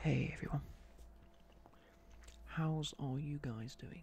Hey everyone. How's all you guys doing?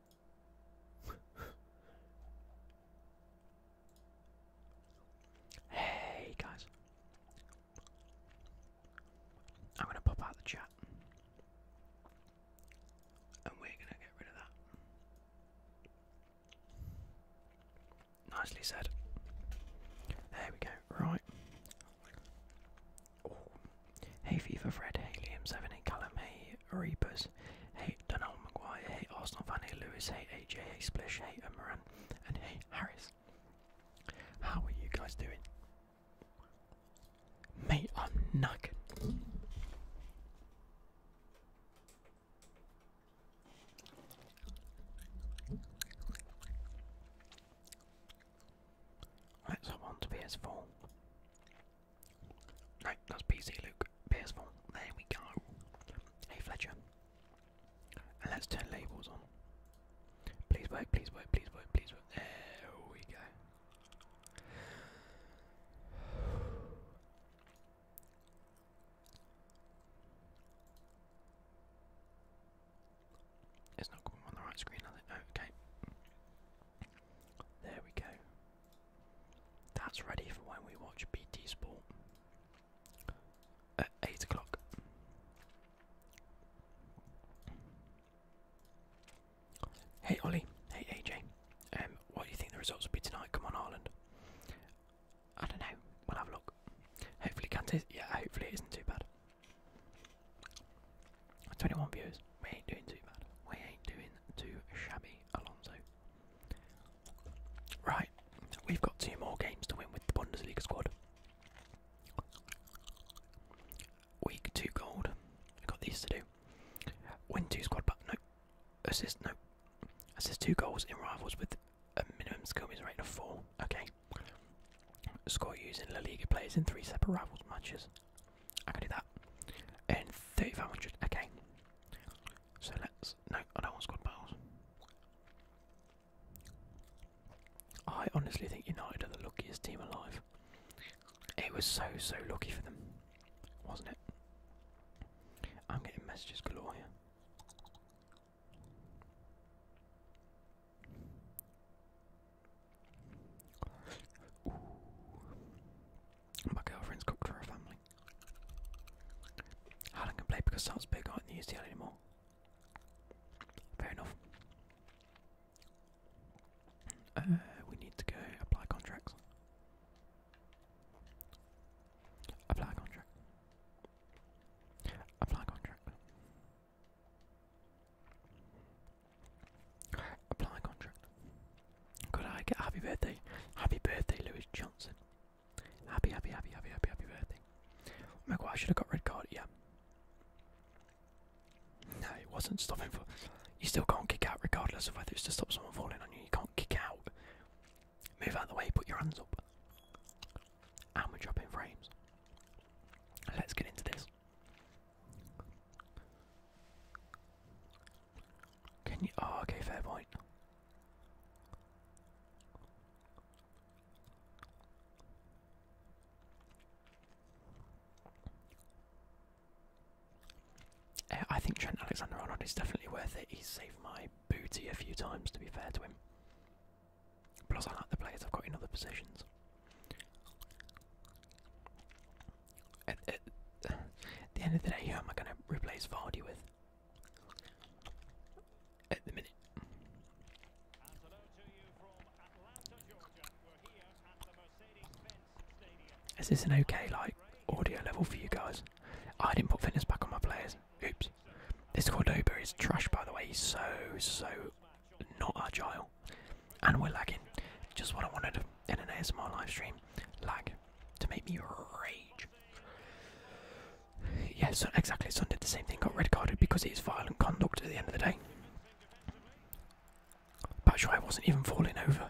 hey guys, I'm gonna pop out the chat, and we're gonna get rid of that. Nicely said. There we go. Right. Hey, FIFA Fred. Hey, Liam Seven. Hey, Callum. Hey, Reapers, hey Donald Maguire, hey Arsenal fan, hey Lewis, hey AJ, hey Splish, hey Amaran, and hey Harris. How are you guys doing? Mate, I'm knackered. Let's hop on to PS4. No, that's PC, Luke. PS4. There we go. Hey, Fletcher. let's turn labels on. Please wait. please wait. please wait. please wait. There we go. It's not coming on the right screen, oh, Okay. There we go. That's ready for when we watch BT Sport at 8 o'clock. Hey Ollie, hey AJ, um, what do you think the results will be tonight? Come on, Ireland. I don't know, we'll have a look. Hopefully, can Kante, yeah, hopefully it isn't too bad. 21 views. We ain't doing too bad. We ain't doing too shabby, Alonso. Right, we've got two more games to win with the Bundesliga squad. Week 2 gold. We've got these to do. Win 2 squad but No. Assist, no. Assist 2 goals in rivals with a minimum skill means rating of 4. Okay. Score using La Liga players in three separate rivals matches. I can do that. And 3500, okay. So let's. No, I don't want squad battles. I honestly think United are the luckiest team alive. It was so, so lucky for them, wasn't it? I'm getting messages galore here. Ooh. My girlfriend's cooked for her family. Helen can play because sounds big I do not need the UCL anymore. Fair enough. Uh, we need to go apply contracts. Apply contract. Apply contract. Apply contract. Could I get happy birthday? Happy birthday, Lewis Johnson. Happy, happy, happy, happy, happy, happy birthday. Oh my god, I should have got red card, yeah. No, it wasn't stopping for. You still can't kick out regardless of whether it's to stop someone falling on you. You can't kick out Move out of the way, put your hands up. And we're dropping frames. Let's get into this. Can you. Oh, okay, fair point. Eh, I think Trent Alexander Arnold is definitely worth it. He's saved my booty a few times, to be fair to him. Plus, I like the players I've got in other positions. At, the end of the day, who am I going to replace Vardy with? At the minute. Is this an okay like audio level for you guys? I didn't put fitness back on my players. Oops. This Cordoba is trash, by the way. He's so, so not agile. And we're lagging. Just what I wanted in an ASMR live stream. Lag. To make me rage. Yes, exactly. Son did the same thing. Got red carded because it is violent conduct at the end of the day. that's why I wasn't even falling over.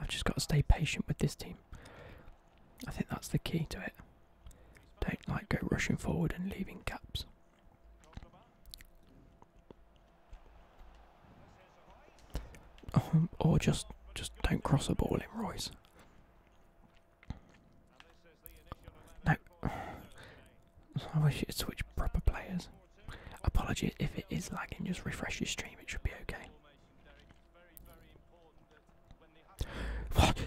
I've just got to stay patient with this team. I think that's the key to it. Don't like go rushing forward and leaving gaps. Um, or just just don't cross a ball in Royce. No. I wish you'd switch proper players. Apologies if it is lagging, just refresh your stream, it should be okay. What?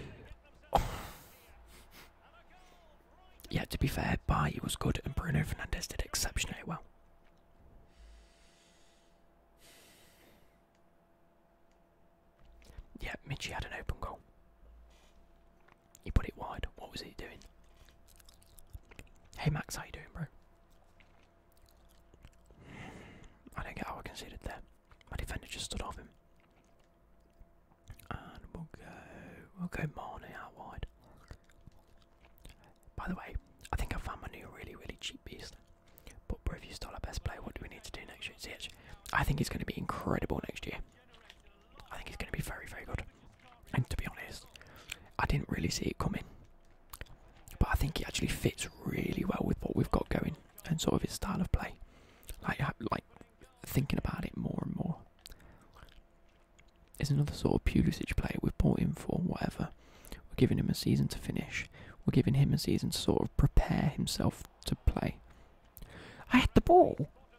Oh. Yeah, to be fair, Bai was good and Bruno Fernandez did exceptionally well. Yeah, Mitchie had an open goal. He put it wide. What was he doing? Hey Max, how you doing, bro? I don't get how I conceded there. My defender just stood off him. And we'll go, we'll go Marnie out wide. By the way, I think I found my new really, really cheap beast. But bro, if you start our best player, what do we need to do next year? See, I think it's going to be incredible next year. I think it's going to be very, very good. And to be honest, I didn't really see it coming. But I think it actually fits really well with what we've got going and sort of his style of play. Like, like thinking about it more and more. It's another sort of Pulisic play we've bought him for, whatever. We're giving him a season to finish. We're giving him a season to sort of prepare himself to play. I had the ball! Oh,